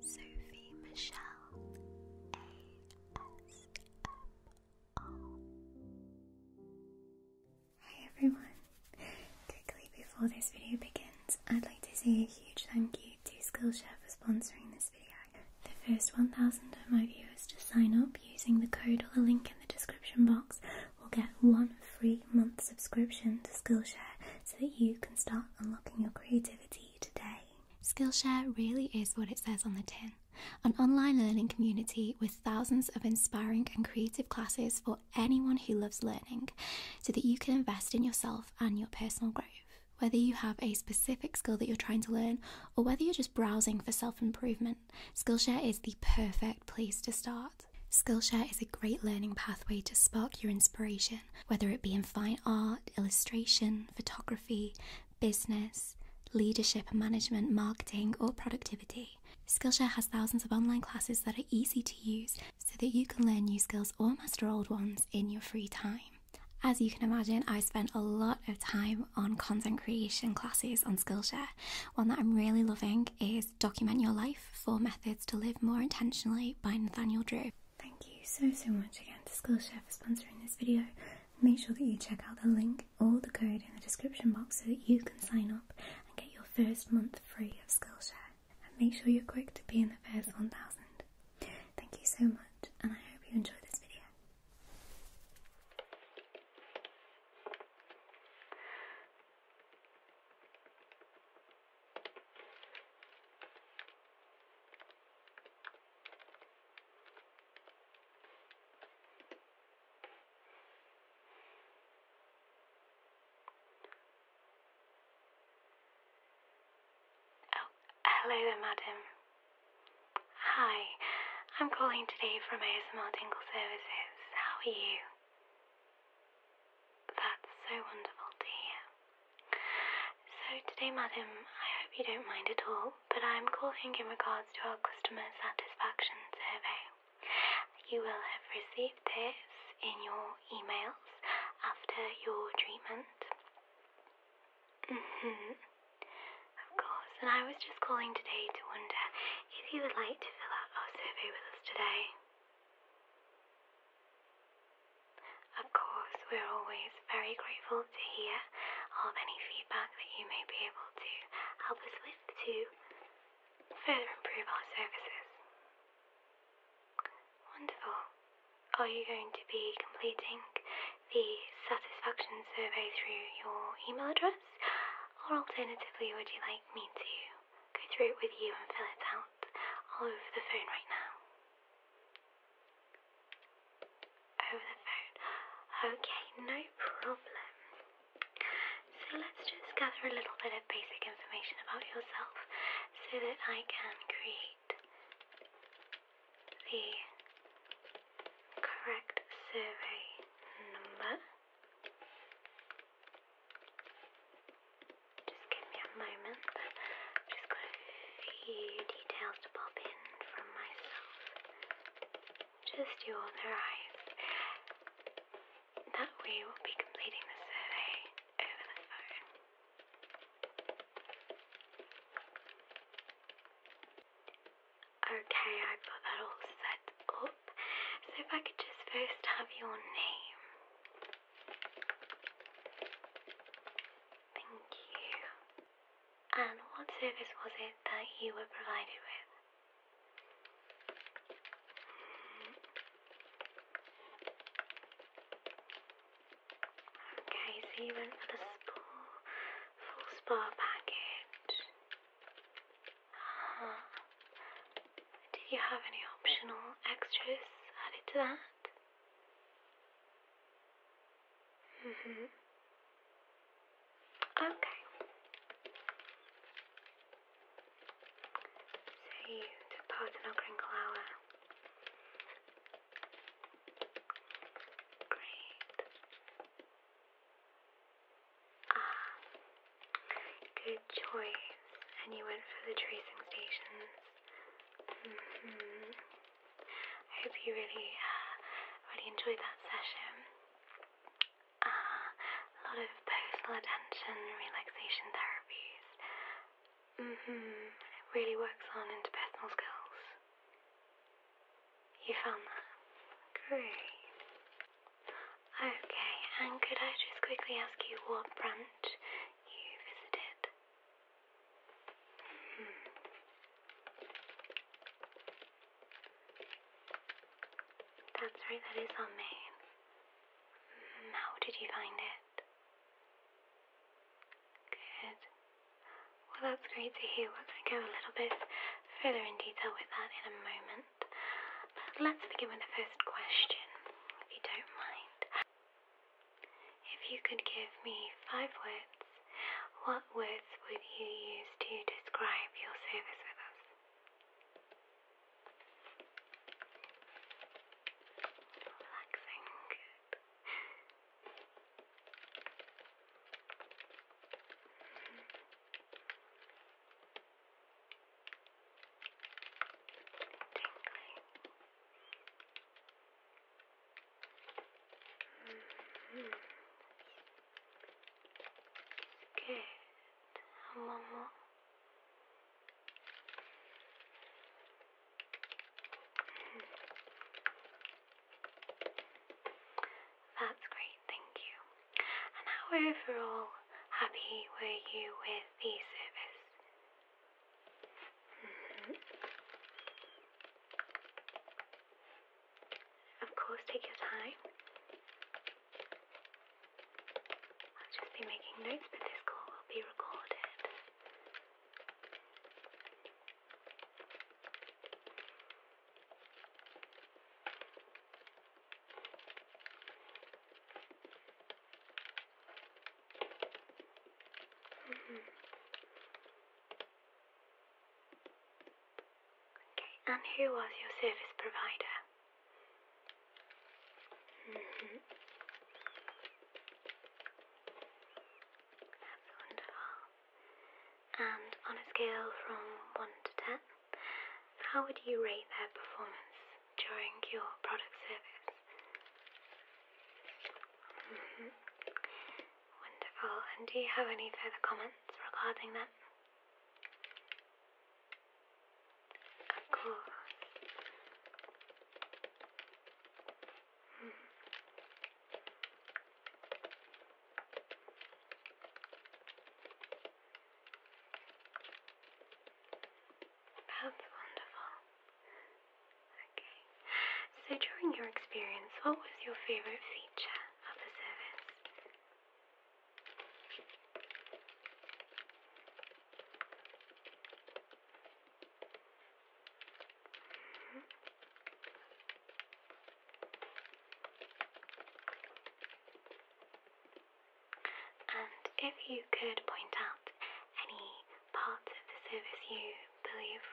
Sophie Michelle ASMR. Hi everyone. Quickly before this video begins, I'd like to say a huge thank you to Skillshare for sponsoring this video. The first 1000 of my viewers to sign up using the code or the link in the description box will get one free month subscription to Skillshare so that you can start unlocking your creativity today. Skillshare really is what it says on the tin an online learning community with thousands of inspiring and creative classes for anyone who loves learning so that you can invest in yourself and your personal growth. Whether you have a specific skill that you're trying to learn or whether you're just browsing for self improvement, Skillshare is the perfect place to start. Skillshare is a great learning pathway to spark your inspiration whether it be in fine art, illustration, photography, business, leadership and management, marketing, or productivity. Skillshare has thousands of online classes that are easy to use so that you can learn new skills or master old ones in your free time. As you can imagine, I spent a lot of time on content creation classes on Skillshare. One that I'm really loving is Document Your Life Four Methods to Live More Intentionally by Nathaniel Drew. Thank you so so much again to Skillshare for sponsoring this video. Make sure that you check out the link or the code in the description box so that you can sign up and get your first month free of Skillshare. And make sure you're quick to be in the first 1000. Thank you so much and I hope you enjoy this video. Oh, hello there, madam. Hi, I'm calling today from ASMR Tingle Services. How are you? That's so wonderful to hear. So today, madam, I hope you don't mind at all, but I'm calling in regards to our customer satisfaction survey. You will have received this in your emails after your treatment. Mm-hmm. Of course, and I was just calling today to wonder if you would like to fill out our survey with us today. Of course, we're always very grateful to hear of any feedback that you may be able to help us with to further improve our services. Wonderful. Are you going to be completing the satisfaction survey through your email address? Or alternatively, would you like me to go through it with you and fill it out all over the phone right now. Over the phone. Okay, no problem. So let's just gather a little bit of basic information about yourself so that I can create the correct survey number. Just give me a moment. just got a few details to pop in from myself. Just you authorized. That way we'll be completing the survey over the phone. Okay, I've got that all set up. So if I could just first have your name. Thank you. And what service was it that you were provided with? Okay, so you went for the spa, full spa package. Ah. Do you have any optional extras added to that? Mm-hmm. Okay. So you took part crinkle hour. Great. Ah, good choice. And you went for the tracing stations. Mm hmm I hope you really, uh, really enjoyed that session. Ah, a lot of personal attention, relaxation therapies. hmm really works on interpersonal skills. You found that? Great. Okay, and could I just quickly ask you what branch you visited? Hmm. That's right, that is our main. Hmm, how did you find it? Good. Well, that's great to hear. We're going to go a little bit further in detail with that in a moment. Let's begin with the first question, if you don't mind. If you could give me five words, what words would you use to describe your service with us? Mm -hmm. Good. And one more. Mm -hmm. That's great, thank you. And how overall happy were you with the service? Mm-hmm. Of course, take your time. I'll just be making notes, but this call will be recorded. Mm -hmm. Okay, and who was your service provider? Mm -hmm. That's wonderful. And on a scale from 1 to 10? How would you rate their performance during your product service? Mm-hmm. Wonderful. And do you have any further comments regarding that? Of course. That's wonderful. Okay. So during your experience, what was your favorite feature of the service? And if you could point out any part of the service you believe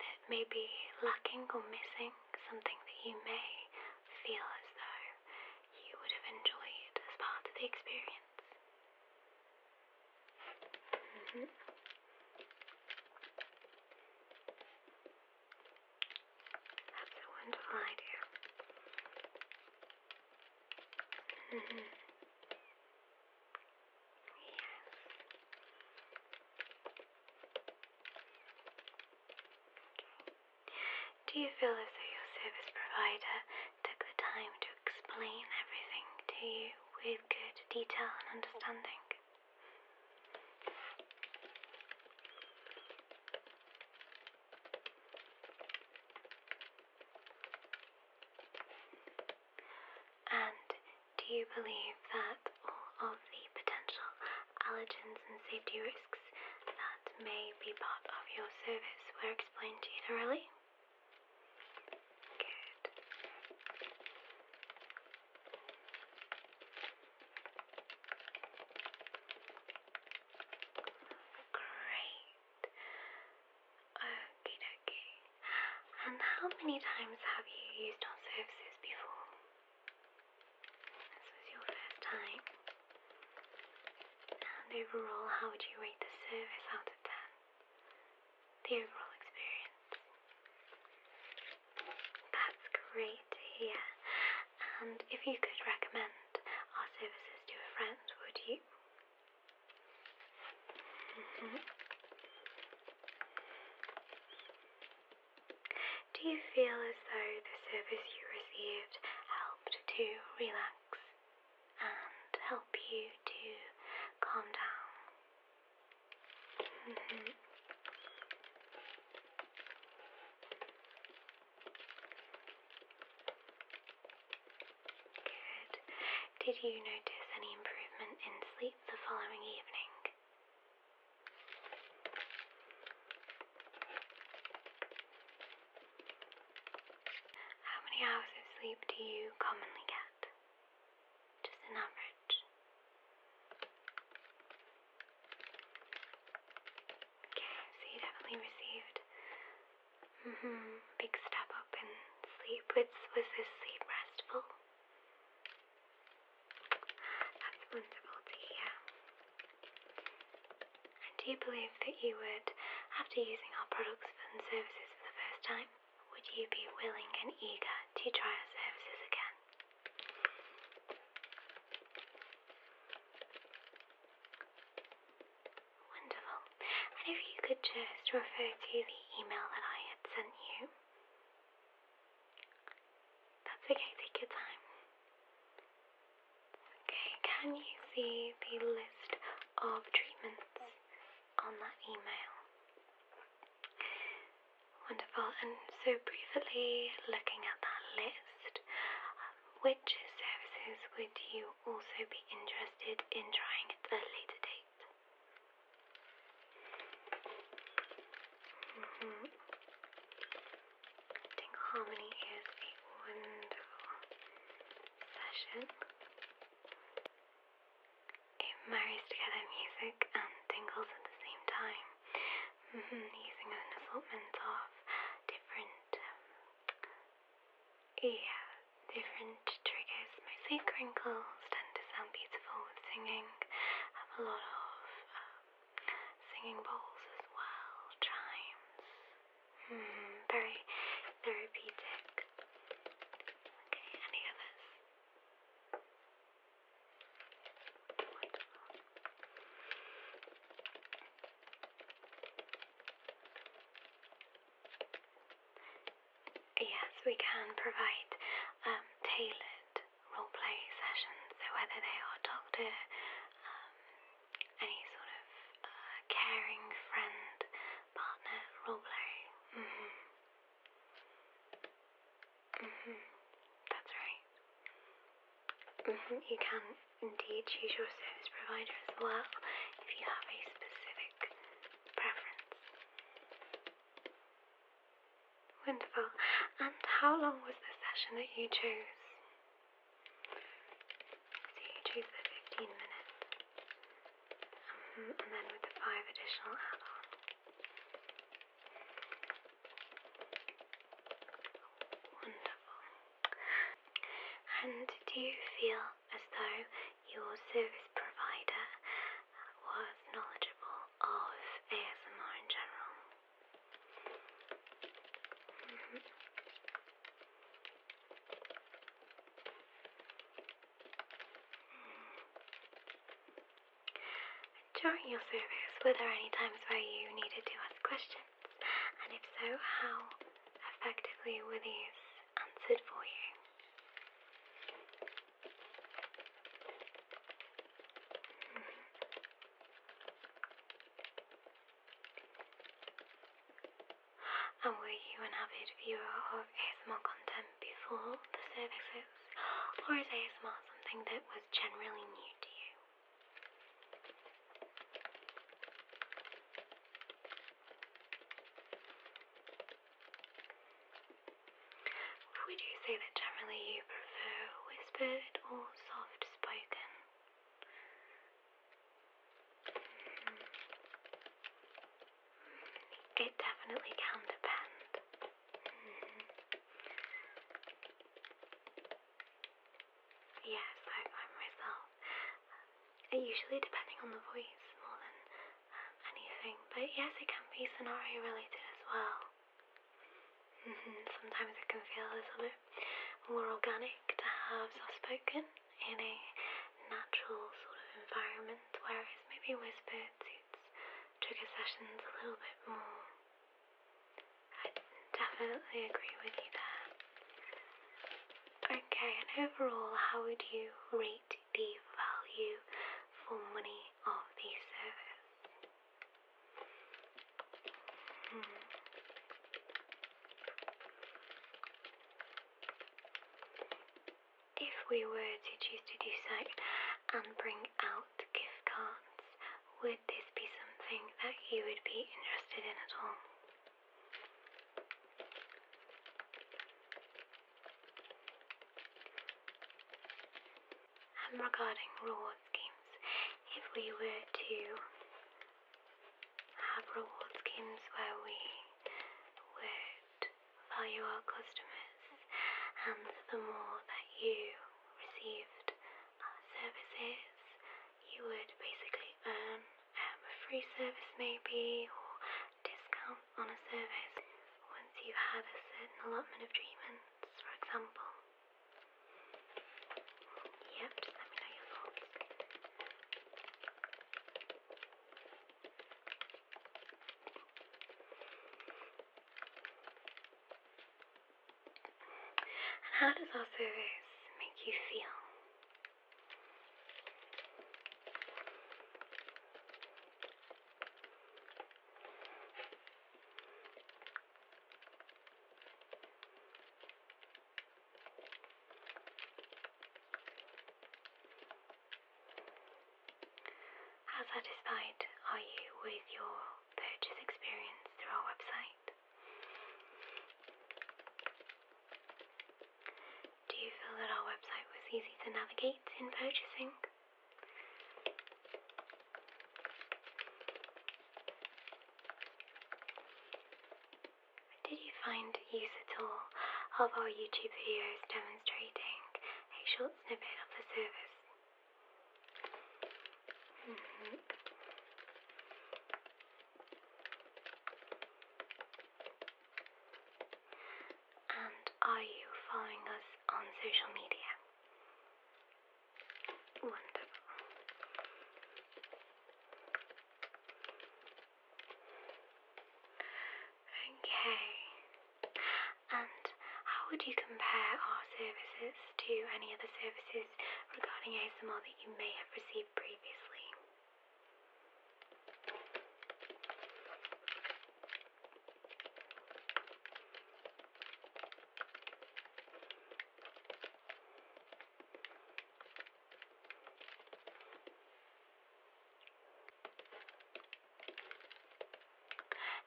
that may be lacking or missing, something that you may feel as though you would have enjoyed as part of the experience. Mm -hmm. That's a wonderful idea. Yes. Do you feel as though your service provider took the time to explain everything to you with good detail and understanding? And do you believe that all of the potential allergens and safety risks that may be part of your service were explained to you thoroughly? Good. Great. Okay, okay. And how many times have you used our services before? This was your first time. And overall, how would you rate the service out of 10? The overall experience. That's great to And if you could recommend our services to a friend, would you? Mm-hmm. Do you feel as though the service you received helped to relax and help you to calm down? Mm-hmm. Good. Did you notice any improvement in sleep the following evening? How many hours of sleep do you commonly get? Just an average. Yeah, so you definitely received -hmm, big step up in sleep. Was, was this sleep restful? That's wonderful to hear. And do you believe that you would, after using our products and services for the first time, would you be willing and eager to try our services again? Wonderful. if you could just refer to the email that I had sent you. That's okay, take your time. Okay, can you see the list of treatments on that email? Wonderful. And so, briefly looking at that list, um, which services would you also be interested in trying at a later date? Mm Harmony is a wonderful session. It marries together music and tingles at the same time. Mm -hmm, using an assortment of different, um, yeah, different triggers. Mostly crinkles tend to sound beautiful with singing. have a lot of um, singing bowls as well, chimes. Mm-hmm. very therapeutic. Okay, any others? Yes, we can provide um, tailored role play sessions. So whether they are doctor, um, any sort of uh, caring friend, partner, role play. Mm-hmm. Mm-hmm. That's right. Mm-hmm. You can indeed choose your service provider as well if you have a specific preference. Wonderful. And how long was the session that you chose? So you chose the 15 minutes. Mm -hmm. And then with the five additional add-ons. Wonderful. And do you feel as though your service provider was knowledgeable of ASMR in general? Mm-hmm. Mm. During your service, were there any times where you needed to ask questions? And if so, how effectively were these answered for you? and were you an avid viewer of ASMR content? Before the services, or is ASMR something that was generally new to you? Would you say that generally you prefer whispered or soft spoken? Hmm. It definitely can depend. Hmm. Yes, I, myself. Um, usually depending on the voice more than um, anything, but yes, it can be scenario related as well. Mm-hmm, sometimes it can feel a little bit more organic to have soft spoken in a natural sort of environment, whereas maybe whispered to trigger sessions a little bit more. I definitely agree with you there. Okay, and overall, how would you rate the value for money of the service? Hmm. If we were to choose to do so and bring out gift cards, would this be something that you would be interested in at all? And regarding reward schemes, if we were to have reward schemes where we would by your customers, and the more that you received uh, services, you would basically earn um, a free service, maybe, or discount on a service once you had a certain allotment of treatments, for example. Yep, just let me know your thoughts. And how does our service make you feel? How satisfied are you with your purchase experience through our website? Do you feel that our website was easy to navigate in purchasing? Did you find use at all of our YouTube videos demonstrating facial snippet of the service. Mm -hmm. And are you following us on social media? Wonderful. Okay. And how would you compare our services to any other services regarding ASMR that you may have received previously?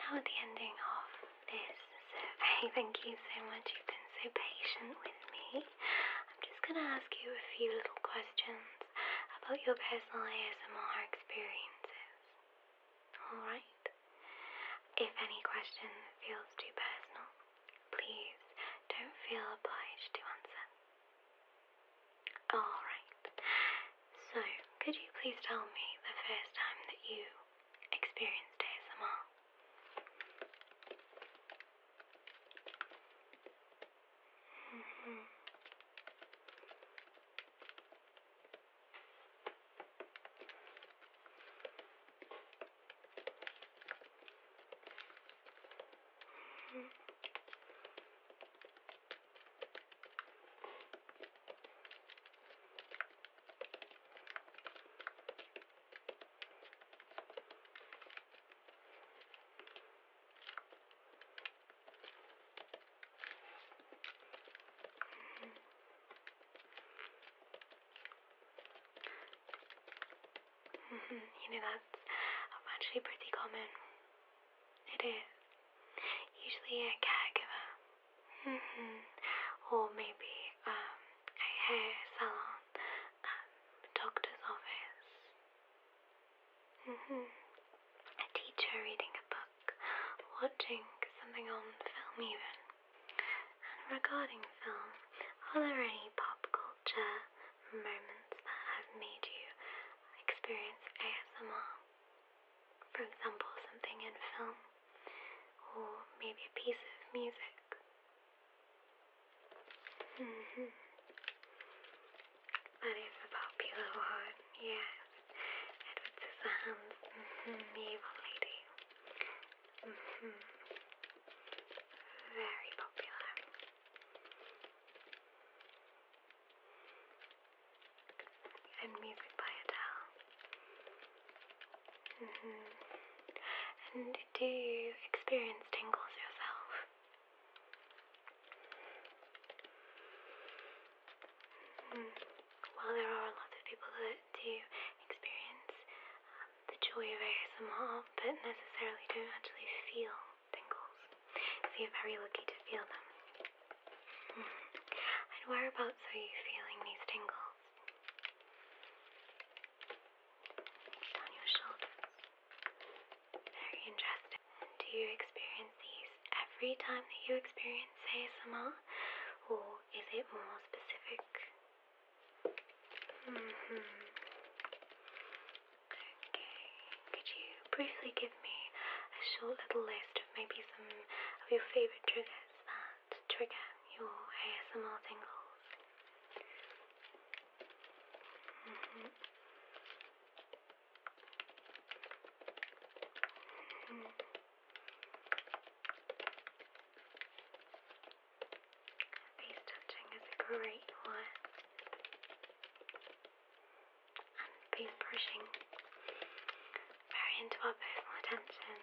Now the ending of this survey, thank you so much, you've been so patient with me. I'm just going to ask you a few little questions about your personal ASMR experiences. Alright? If any question feels too personal, please don't feel obliged to answer. Alright, so could you please tell me the first time that you experienced ASMR? Mm-hmm. Mm-hmm. Mm-hmm. you know, that's actually pretty common. It is. Usually a caregiver. Mm hmm Or maybe um, a hair salon, um, a doctor's office. Mm hmm A teacher reading a book, watching something on film even. regarding film, are there any pop culture moments that have made you experience ASMR. For example, something in film, or maybe a piece of music. Mm-hmm. That is a popular yes. Edward Scissorhands, mm-hmm. evil lady. Mm-hmm. Very popular and music by Adele. Mm And do you experience tingles yourself? Mm. Well, there are a lot of people that do experience um, the joy of ASMR, but necessarily don't actually feel tingles. you're very lucky to feel them. Hmm. and whereabouts are you feeling these tingles? Down your shoulders. Very interesting. Do you experience these every time that you experience ASMR? Or is it more specific? hmm Okay, could you briefly give me a short little list of maybe some of your favourite triggers that trigger your ASMR tingles? Face mm-hmm. mm-hmm. touching is a great one and these brushing very into our personal attention.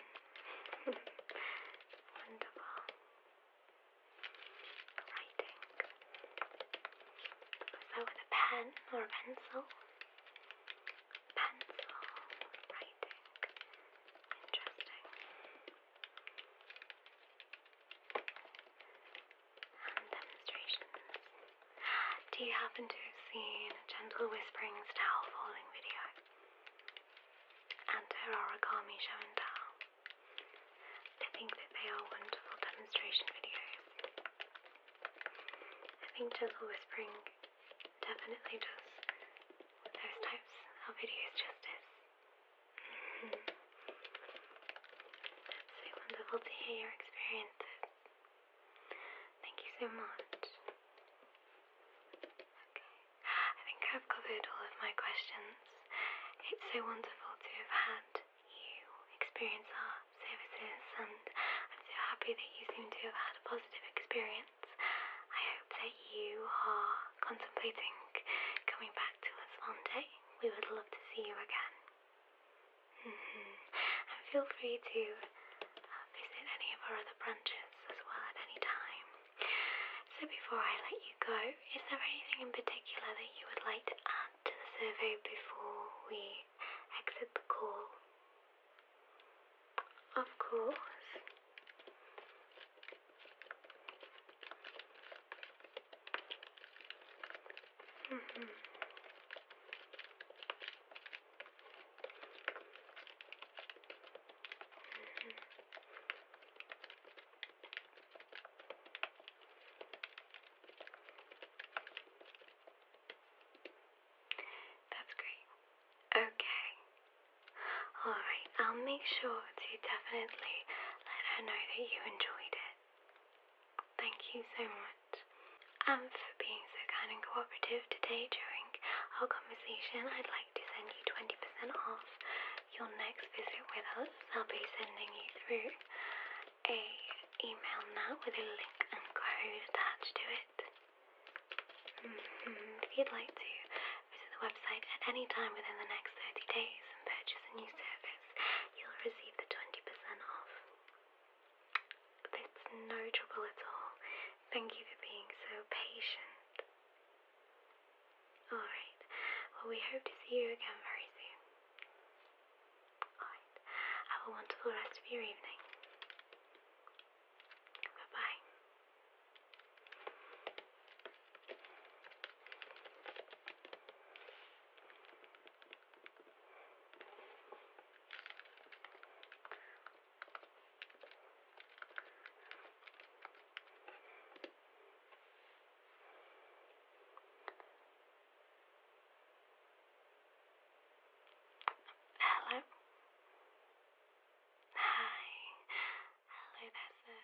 Wonderful. Writing. So with a pen or a pencil. Pencil writing. Interesting. Do you happen to have seen a Gentle Whisperings towel folding video? And her origami show I think that they are wonderful demonstration videos. I think Gentle Whispering definitely does those types of videos justice. That's so wonderful to hear your experiences. Thank you so much. Okay, I think I've covered all of my questions. It's so wonderful to have had you experience our services, and I'm so happy that you seem to have had a positive experience. I hope that you are contemplating coming back to us one day. We would love to see you again. Mm-hmm. And feel free to uh, visit any of our other branches as well at any time. So, before I let you go, is there anything in particular that you would like to add to the survey before we exit the call? Of course. Mm -hmm. -hmm. That's great. Okay. Alright, I'll make sure to definitely let her know that you enjoyed it. Thank you so much and um, for being so kind and cooperative today during our conversation. I'd like to send you 20% off your next visit with us. I'll be sending you through a email now with a link and code attached to it. Mm-hmm. If you'd like to visit the website at any time within the next 30 days and purchase a new service, you'll receive the 20% off. That's no trouble at all. Thank you for being so patient. Alright, well, we hope to see you again very soon. Alright, have a wonderful rest of your evening. Bye bye. Hello. Hi. Hello there, sir.